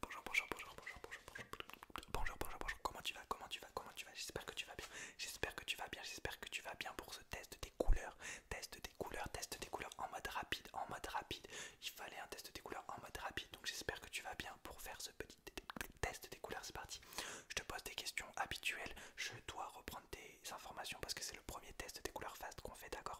Bonjour, bonjour, bonjour, bonjour, bonjour, bonjour, bonjour, bonjour, bonjour, comment tu vas, comment tu vas, comment tu vas, j'espère que tu vas bien, j'espère que tu vas bien, j'espère que tu vas bien pour ce test des couleurs, test des couleurs, test des couleurs en mode rapide, en mode rapide, il fallait un test des couleurs en mode rapide, donc j'espère que tu vas bien pour faire ce petit test des couleurs, c'est parti, je te pose des questions habituelles, je dois reprendre tes informations parce que c'est le premier test des couleurs fast qu'on fait, d'accord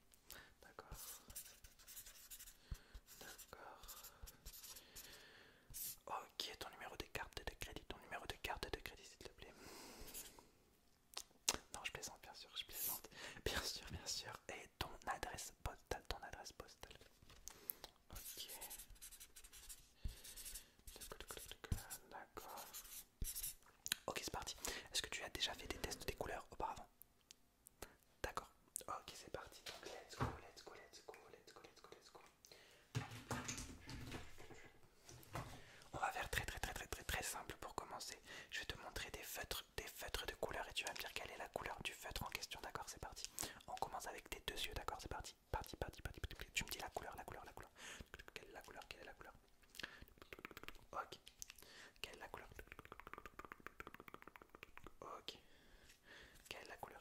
D'accord. D'accord. Ok, ton numéro de carte de crédit Ton numéro de carte de crédit, s'il te plaît. Non, je plaisante, bien sûr, je plaisante. Bien sûr, bien sûr. Et ton adresse postale, ton adresse postale. Ok. D'accord. Ok, c'est parti. Est-ce que tu as déjà fait des tests des couleurs auparavant D'accord. Ok, c'est parti. let's go, let's go, let's go, let's go, let's go, On va faire très très très très très très simple pour commencer. Je vais te montrer des feutres, des feutres de couleur et tu vas me dire quelle est la couleur du feutre en question. D'accord, c'est parti. On commence avec tes deux yeux. D'accord, c'est parti. Parti, parti, parti, parti. Tu me dis la couleur, la couleur, la couleur. Quelle est la couleur Quelle est la couleur Ok, quelle est la couleur Ok. Quelle est la couleur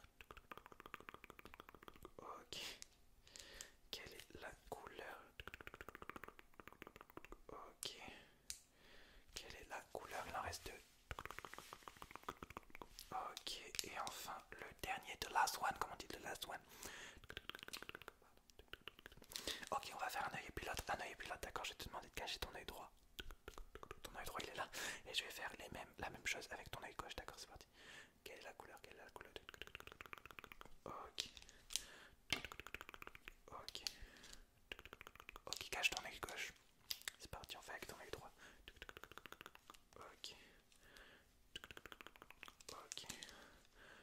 Ok. Quelle est la couleur Ok. Quelle est la couleur Il en reste deux. Ok. Et enfin, le dernier de last one. Comment on dit de last one Ok, on va faire un œil pilote. Un œil pilote, d'accord, je vais te demander de cacher ton œil droit. Ton œil droit, il est là. Et je vais faire les mêmes, la même chose avec ton œil gauche, d'accord, c'est parti. Quelle est la couleur Quelle est la couleur Ok. Ok. Ok, cache ton œil gauche. C'est parti, on fait avec ton œil droit. Ok. Ok.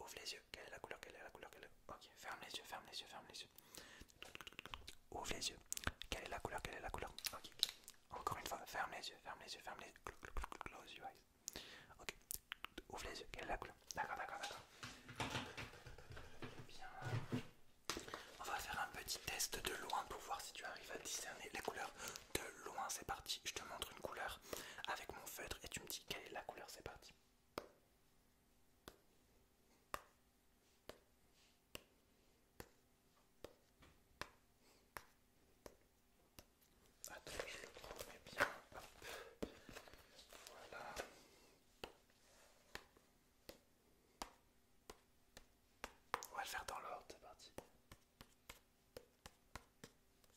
Ouvre les yeux. Quelle est la couleur Quelle est la couleur Ok, ferme les yeux, ferme les yeux, ferme les yeux. Ouvre les yeux. Quelle est la couleur Quelle est la couleur Ok. Encore une fois, ferme les yeux, ferme les yeux, ferme les yeux. Close your eyes. Ok. Ouvre les yeux. Quelle est la couleur D'accord, d'accord, d'accord. Bien. On va faire un petit test de loin pour voir si tu arrives à discerner les couleurs de loin, c'est parti. Je te montre une couleur avec mon feutre et tu me dis quelle est la couleur, c'est parti. Attends, je le remets bien. Voilà. On va le faire dans l'ordre, c'est parti.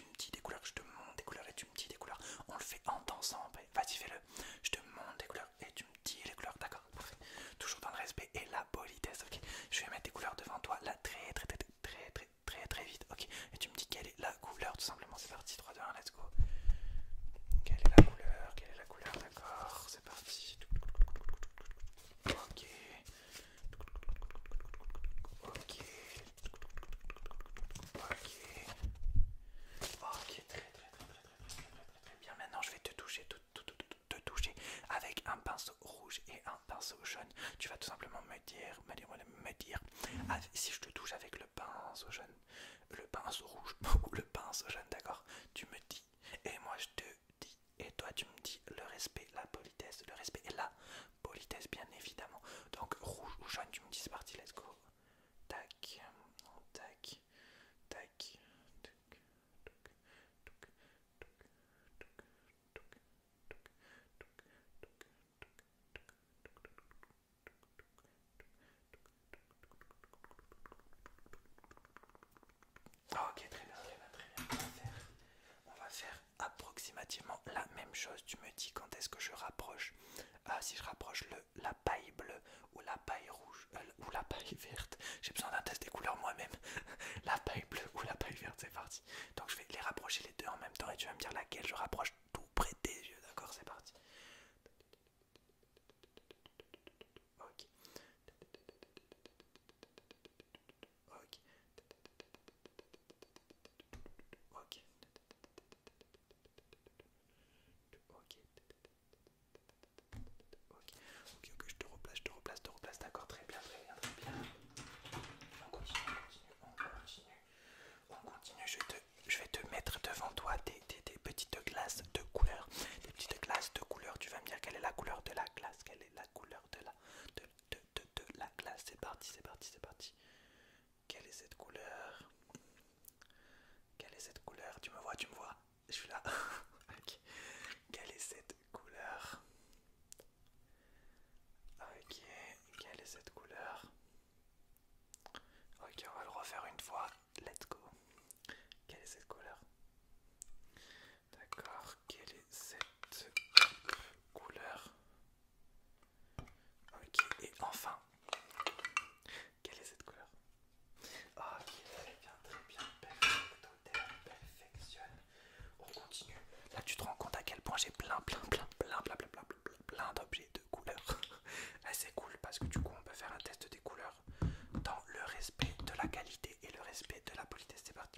tu me dis des couleurs, je te montre des couleurs et tu me dis des couleurs. On le fait en dansant, vas-y fais-le. Je te montre des couleurs et tu me dis les couleurs, d'accord Parfait. Toujours dans le respect et la politesse, ok Je vais mettre des couleurs devant toi, là très très très très très très très vite, ok Et tu me dis quelle est la couleur, tout simplement, c'est parti, 3, 2, 1, let's go. Quelle est la couleur Quelle est la couleur D'accord, c'est parti. Ok, Ok. Ok. Ok, très très très très très très très très bien. Maintenant, je vais te toucher, te, toucher avec un pinceau rouge et un pinceau jaune. Tu vas tout simplement me dire, me dire, me dire, ah, si je te touche avec le pinceau jaune, le pinceau rouge ou le pinceau jaune, d'accord Tu me dis et moi je te dis et toi tu me dis le respect, la politesse, le respect est là Politesse, bien évidemment. Donc, rouge ou jaune, tu me dis c'est parti, let's go. Tac, tac, tac, tac, tac, tac, tac, tac, Tac Tac Tac Tac Tac Tac Tac Tac Tac Tac Tac Tac Tac approximativement la même chose. Tu me dis quand est-ce que je rapproche, ah si je rapproche le, la paille bleue ou la paille rouge euh, ou la paille verte. J'ai besoin d'un test des couleurs moi-même. la paille bleue ou la paille verte, c'est parti. Donc je vais les rapprocher les deux en même temps et tu vas me dire laquelle je rapproche tout près des yeux. D'accord, c'est parti. Ok. Ok. Ok. Ok. Ok, ok, ok, je te replace, je te replace, je te replace, d'accord, très bien, très bien, très bien. On continue, on continue, on continue. On continue, je, te, je vais te mettre devant toi des, des, des petites glaces de couleurs, Des petites glaces de couleurs, tu vas me dire quelle est la couleur de la glace, quelle est la couleur de la, de, la glace. C'est parti, c'est parti, c'est parti. Quelle est cette couleur Quelle est cette couleur Tu me vois, tu me vois Je suis là. ok. Quelle est cette couleur Ok. Quelle est cette couleur Ok, on va le refaire une fois. Let's go. Quelle est cette couleur D'accord, quelle est cette couleur Ok, et enfin, quelle est cette couleur ah, Ok, très bien, très bien, perfectionne. On continue. Là, tu te rends compte à quel point j'ai plein, plein, plein, plein, plein, plein, plein, plein, d'objets de couleurs. c'est cool parce que du coup, on peut faire un test des couleurs dans le respect de la qualité et le respect de la politesse. C'est parti.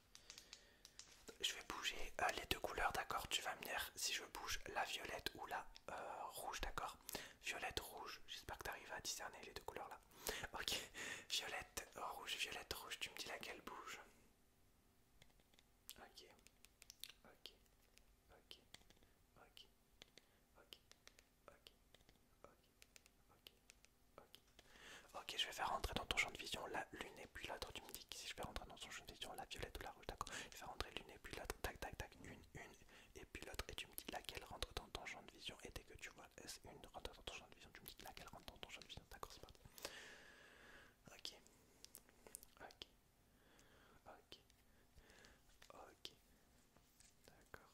Je vais bouger les deux couleurs, d'accord Tu vas me dire si je bouge la violette ou la rouge, d'accord Violette, rouge, j'espère que tu arrives à discerner les deux couleurs là. Ok, violette, rouge, violette, rouge, tu me dis laquelle bouge ok, ok, ok, ok, ok, ok, ok, ok. je vais faire rentrer dans ton champ de vision la lune et puis l'autre. Tu me dis que si je vais rentrer dans ton champ de vision la violette ou la rouge, d'accord Je vais faire rentrer l'une et puis l'autre. Tac, tac, tac. Une, une et puis l'autre. Et tu me dis laquelle rentre dans ton champ de vision. Et dès que tu vois S1 rentre dans ton champ de vision, tu me dis laquelle rentre dans ton champ de vision. D'accord, c'est parti. Ok. Ok. Ok. Ok. D'accord.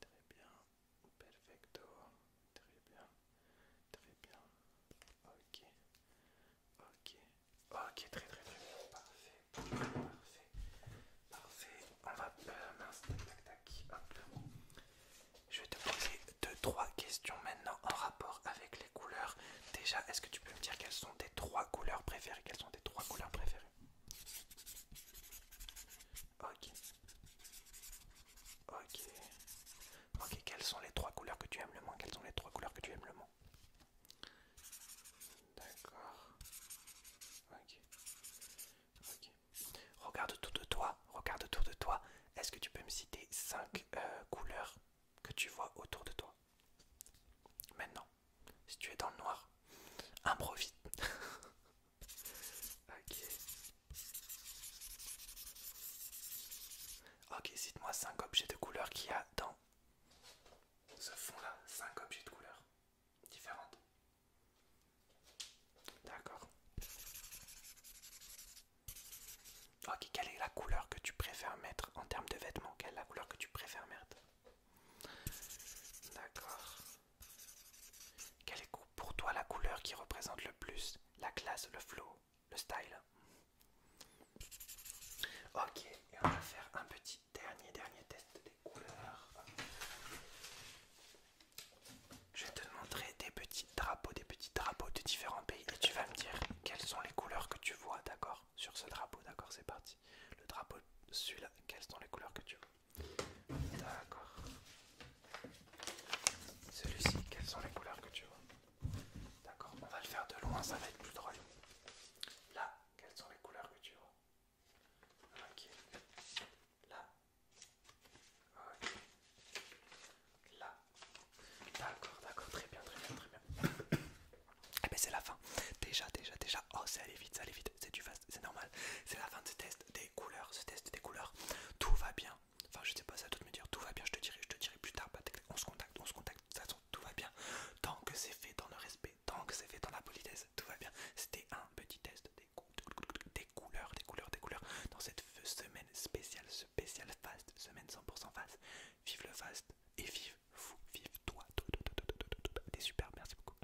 Très bien. Perfecto. Très bien. Très bien. Ok. Ok. Ok, très très très bien. Parfait. Parfait. Parfait. On va... Euh, mince, tac tac tac. Hop. Je vais te poser deux, trois questions maintenant en rapport avec les couleurs. Déjà, est-ce que tu peux me dire quelles sont tes trois couleurs préférées Quelles sont tes trois couleurs préférées Ok. Ok. Ok, quelles sont les trois couleurs que tu aimes le moins Quelles sont les trois couleurs que tu aimes le moins D'accord. Ok. Ok. Regarde autour de toi. Regarde autour de toi. Est-ce que tu peux me citer cinq euh, couleurs que tu vois autour de toi Maintenant, si tu es dans le noir, improvise. Ok. Ok, cite-moi 5 objets de couleur qu'il y a dans ce fond-là. 5 objets de couleur différentes. D'accord. Ok, quelle est la couleur que tu préfères mettre en termes de vêtements Quelle est la couleur que tu préfères mettre D'accord. Quelle est pour toi la couleur qui représente le plus la classe, le flow, le style Ok, et on va faire un petit dernier, dernier test des couleurs. Je vais te montrer des petits drapeaux, des petits drapeaux de différents pays et tu vas me dire quelles sont les couleurs que tu vois, d'accord Sur ce drapeau, d'accord, c'est parti. Le drapeau, celui-là, quelles sont les couleurs que tu vois D'accord. Celui-ci, quelles sont les couleurs que tu vois D'accord, on va le faire de loin, ça va être plus drôle. Là, quelles sont les couleurs que tu vois Ok. Là. Ok. Là. D'accord, d'accord, très bien, très bien, très bien. Eh bien c'est la fin. Déjà, déjà, déjà. Oh, ça allait vite, ça allait vite. C'est c'est normal. C'est la fin de ce test des couleurs, ce test des couleurs. Tout va bien. Enfin, je sais pas, ça tout me dire tout va bien, je te dirai, je te dirai plus tard. on se contacte, on se contacte. De toute façon, tout va bien. Tant que c'est fait dans le respect, tant que c'est fait dans la politesse, tout va bien. C'était un petit test des, couleurs des couleurs, des couleurs, des couleurs. Dans cette semaine spéciale, spéciale fast, semaine 100% fast. Vive le fast et vive vous, vive toi. T'es super, merci beaucoup.